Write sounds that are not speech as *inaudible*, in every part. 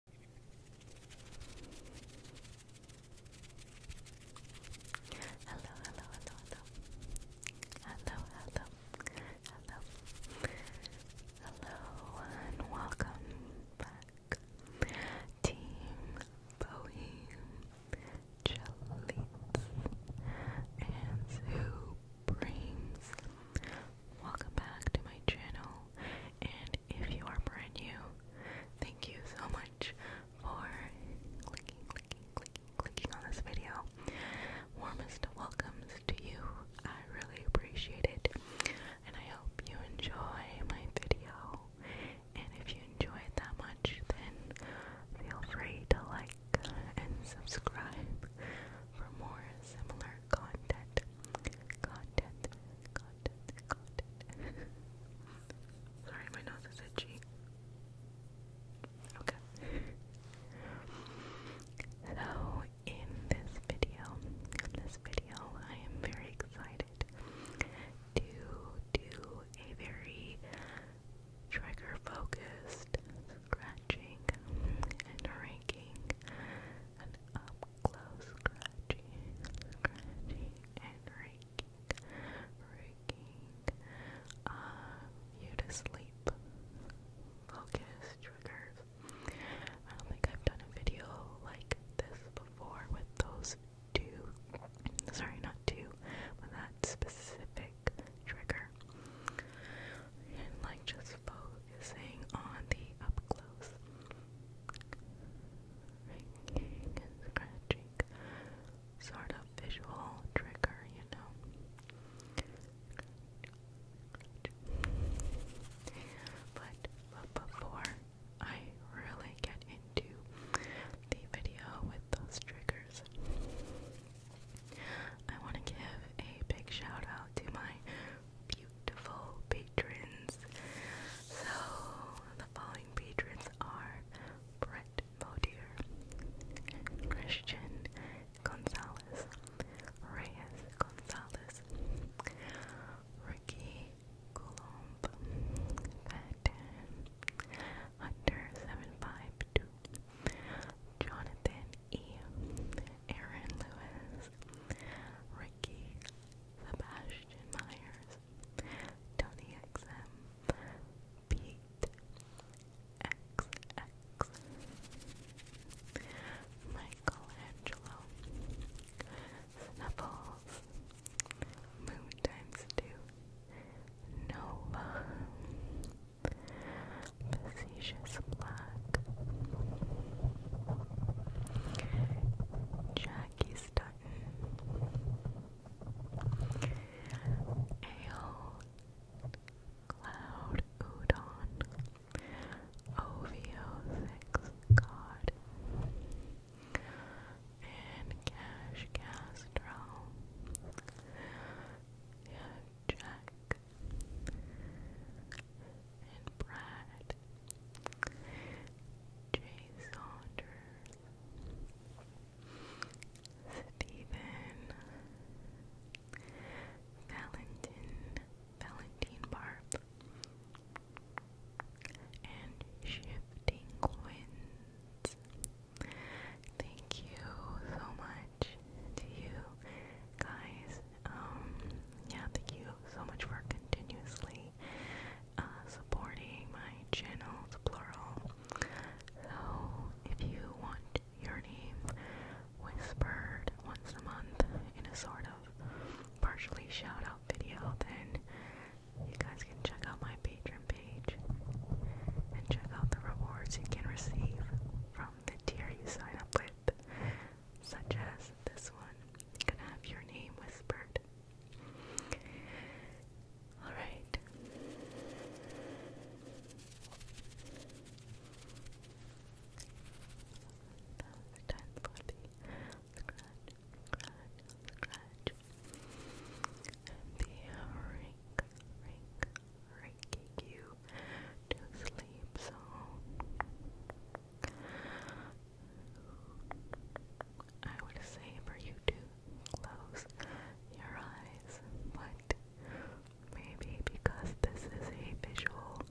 Hello, hello, hello, hello. Hello, hello, hello. welcome back, Team Bowie, Jellies, and who brings welcome back to my channel. And if you are brand new, thank you so much for clicking, clicking, clicking, clicking on this video. Warmest welcomes to you. I really appreciate it. And I hope you enjoy my video. And if you enjoy it that much, then feel free to like and subscribe for more similar content. Content, content, content. *laughs* Sorry, my nose is itchy. Okay. So, in this video, in this video, I am very excited to do a very trigger focused scratching and ranking close scratching, and raking, raking uh, you to sleep. Focus triggers. I don't think I've done a video like this before with those two. Sorry, not two, but that specific trigger. And like just focus focusing on the up close ringing scratching sort of visual trigger, you know. But, but before I really get into the video with those triggers, I want to give a big shout out to my beautiful patrons. So the following patrons are Brett Modier, Christian Gonzalez, Reyes Gonzalez, Ricky Colomb, Hunter752, Jonathan E. Aaron Lewis, Becky, Sebastian Myers, Tony XM, Pete XX, Michelangelo, Snuffles, Moon Times 2, Nova, Facetious Blood. Black, Jackie Stutton, Ale, Cloud Udon, OVO Six God, and Cash Castro. Yeah, Jack and Brad, Jay Saunders, Stephen, Valentin, Valentine Barb, and Shifting Winds. Thank you so much to you guys um, yeah, thank you so much for continuously uh, supporting my channel, it's plural. So, if you want your name whispered once a month in a sort of partially shout out video, then you guys can check out my Patreon page and check out the rewards you can receive from the tier you sign up with, such as this one can have your name whispered. All right. That was time for the scratch, scratch, scratch. And you to sleep, so I would say for you to close your eyes, but maybe because this is a visual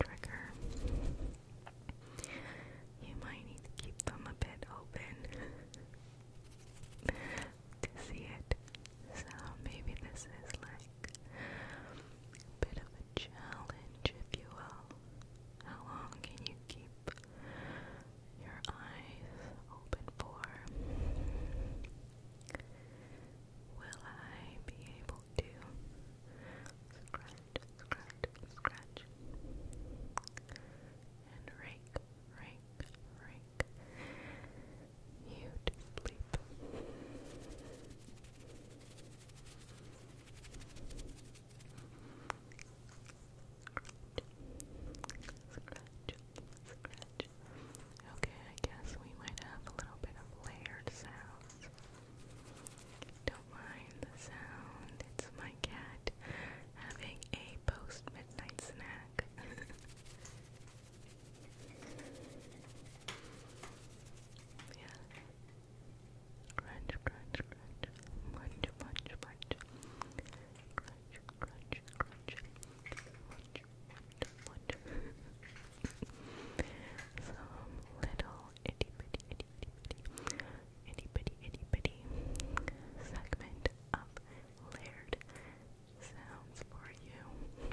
trigger, you might need to keep them a bit open *laughs* to see it. So maybe this is like like bit of a challenge, if you will. How long can you keep your eyes open for? Will I be able to scratch, scratch, scratch, and rake, rake, rake, you to sleep. Scratch, scratch. Okay, I guess we might have a little bit of layered sounds. Don't mind the sound, it's my cat having a post midnight snack. *laughs* Yeah. Crunch, crunch, crunch. Munch, munch, munch. Crunch, crunch, crunch. Munch, munch, munch. Some little itty bitty, itty bitty, segment of layered sounds for you.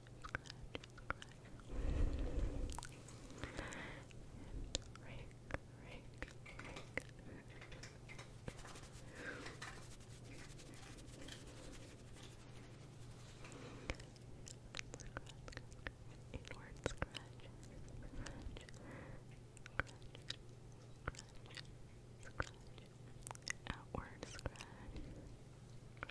Scratch, scratch, outward scratch, scratch, scratch,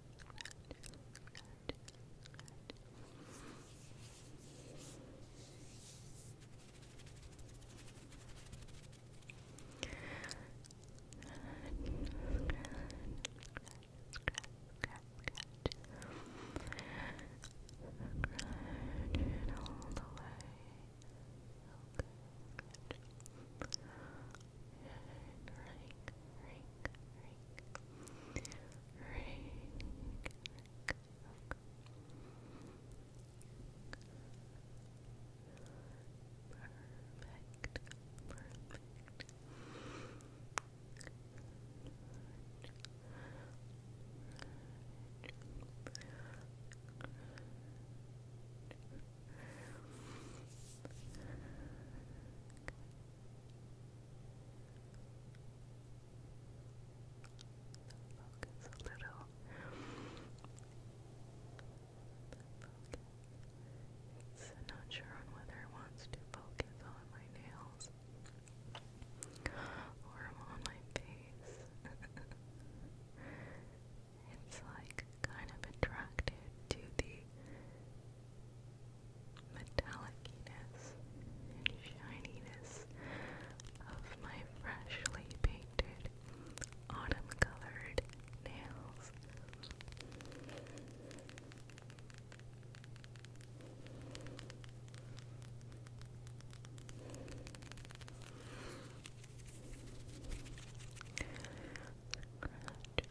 all the way. Okay, good. Rake, rake, rake. Rake, Perfect, perfect. Focus a little. I'm not sure whether it wants to focus on my nails or on my face. *laughs* it's like kind of attracted to the metallicness and shininess of my freshly painted autumn colored nails. Scratch,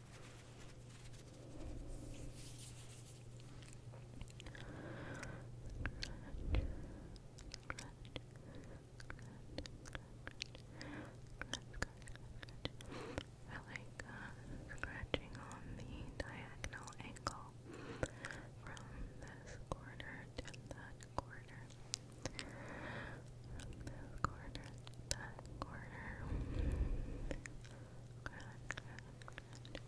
I like scratching on the diagonal angle from this corner to that corner. this corner to that corner closer here. If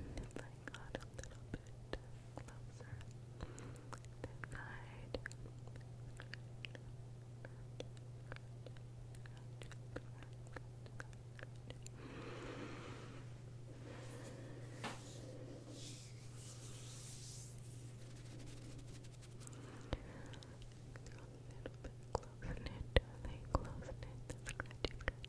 I got a little bit bit closer. Midnight. A little bit close knit, they close knit, the scratchy, scratchy.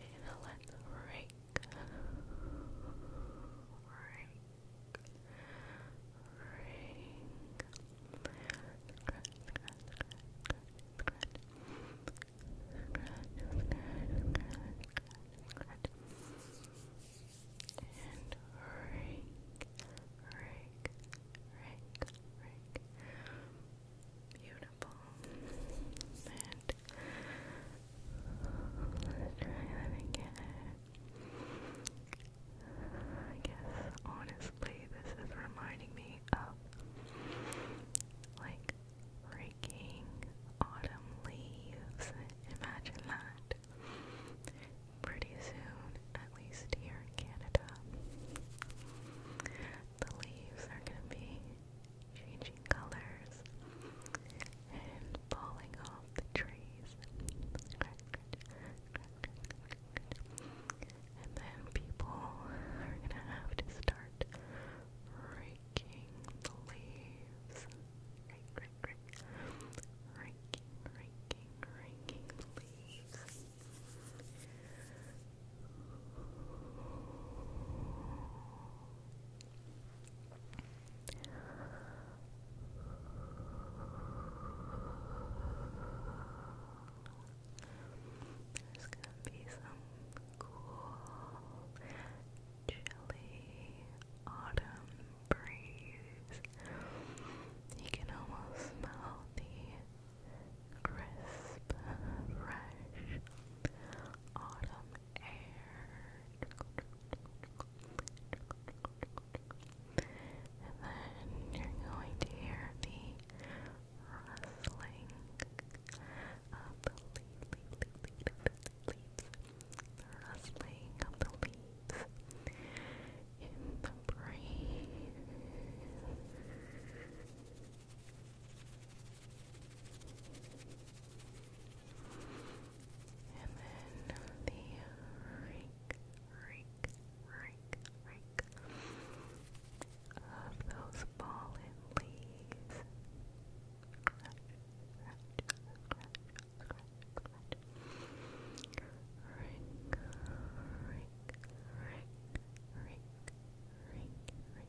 And i let the rake, rake, rake, scratch, scratch, scratch, scratch, scratch, scratch, scratch, scratch, let's try that again. I guess honestly, this is reminding me of like raking autumn leaves. Imagine that. Pretty soon, at least here in Canada the leaves are going to be changing colors and falling off the trees. And then people are going to have to start raking the leaves. Raking, raking, raking the leaves. There's gonna be some cool, chilly autumn breeze. You can almost smell the crisp, fresh autumn air. And then you're going to hear the rustling of the leaves, rustling of the leaves in the breeze. And then the rake, rake, rake, rake of those fallen leaves. Scratch, scratch, scratch, scratch, scratch. Rake,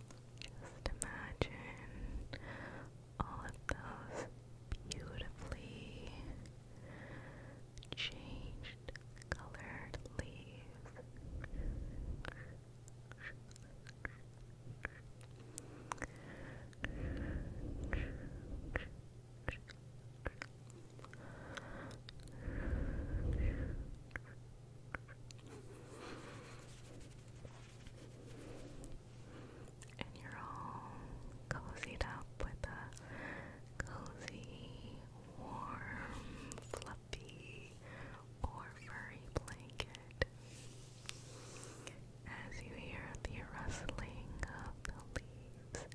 Just imagine all of those beautifully changed colored leaves. And you're all cozied up with a cozy, warm, fluffy, or furry blanket it. As you hear the rustling of the leaves,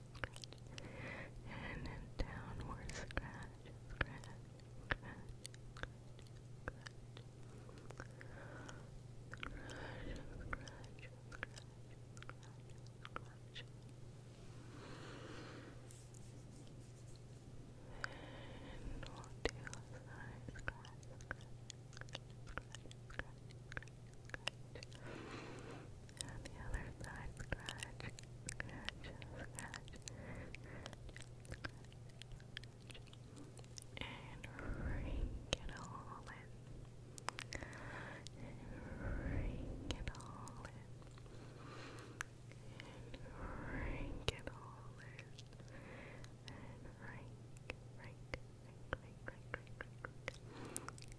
and a downward scratch, scratch, scratch, scratch, scratch, scratch, scratch, scratch, and on the other side, scratch, scratch, scratch, scratch, on the other side, scratch, scratch, scratch, scratch, and rake it all it And rake it And rake, rake, rake, rake, rake, rake,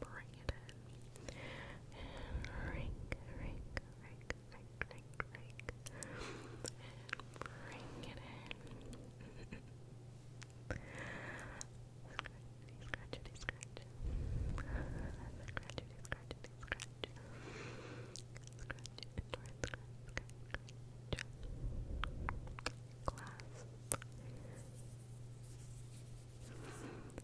Bring it in. And rake, rake, rake, rake, rake, bring it in. Scratchity, scratchity, scratch. Scratchity, scratchity, scratch. Scratch, enjoy, scratch, scratch, scratch. Glass.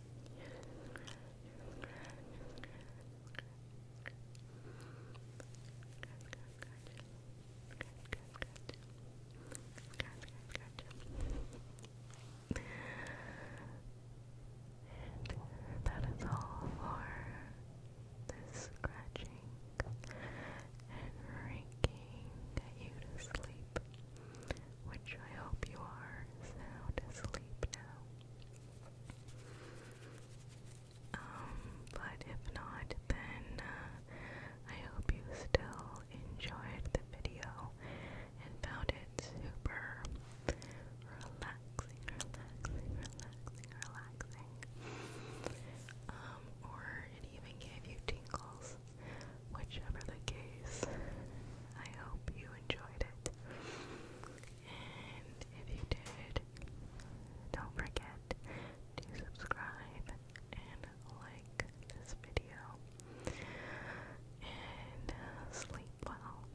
And that is all for this scratching and raking you to sleep which I hope you are sound asleep now. Um, but if not, then uh, I hope you still enjoyed the video and found it super relaxing, relaxing, relaxing, relaxing. Um, or it even gave you tingles. Whichever the case, I hope you enjoyed it. And if you did, don't forget to subscribe and like this video. And uh, sleep well,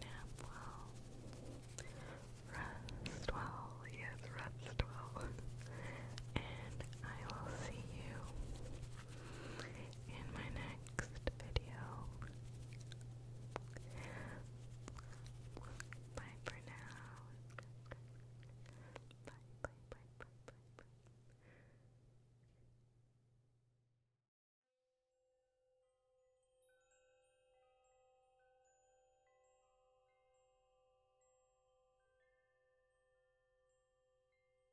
nap well, rest well, yes, well. And I will see you in my next video. Bye for now. Bye, bye, bye, bye, bye,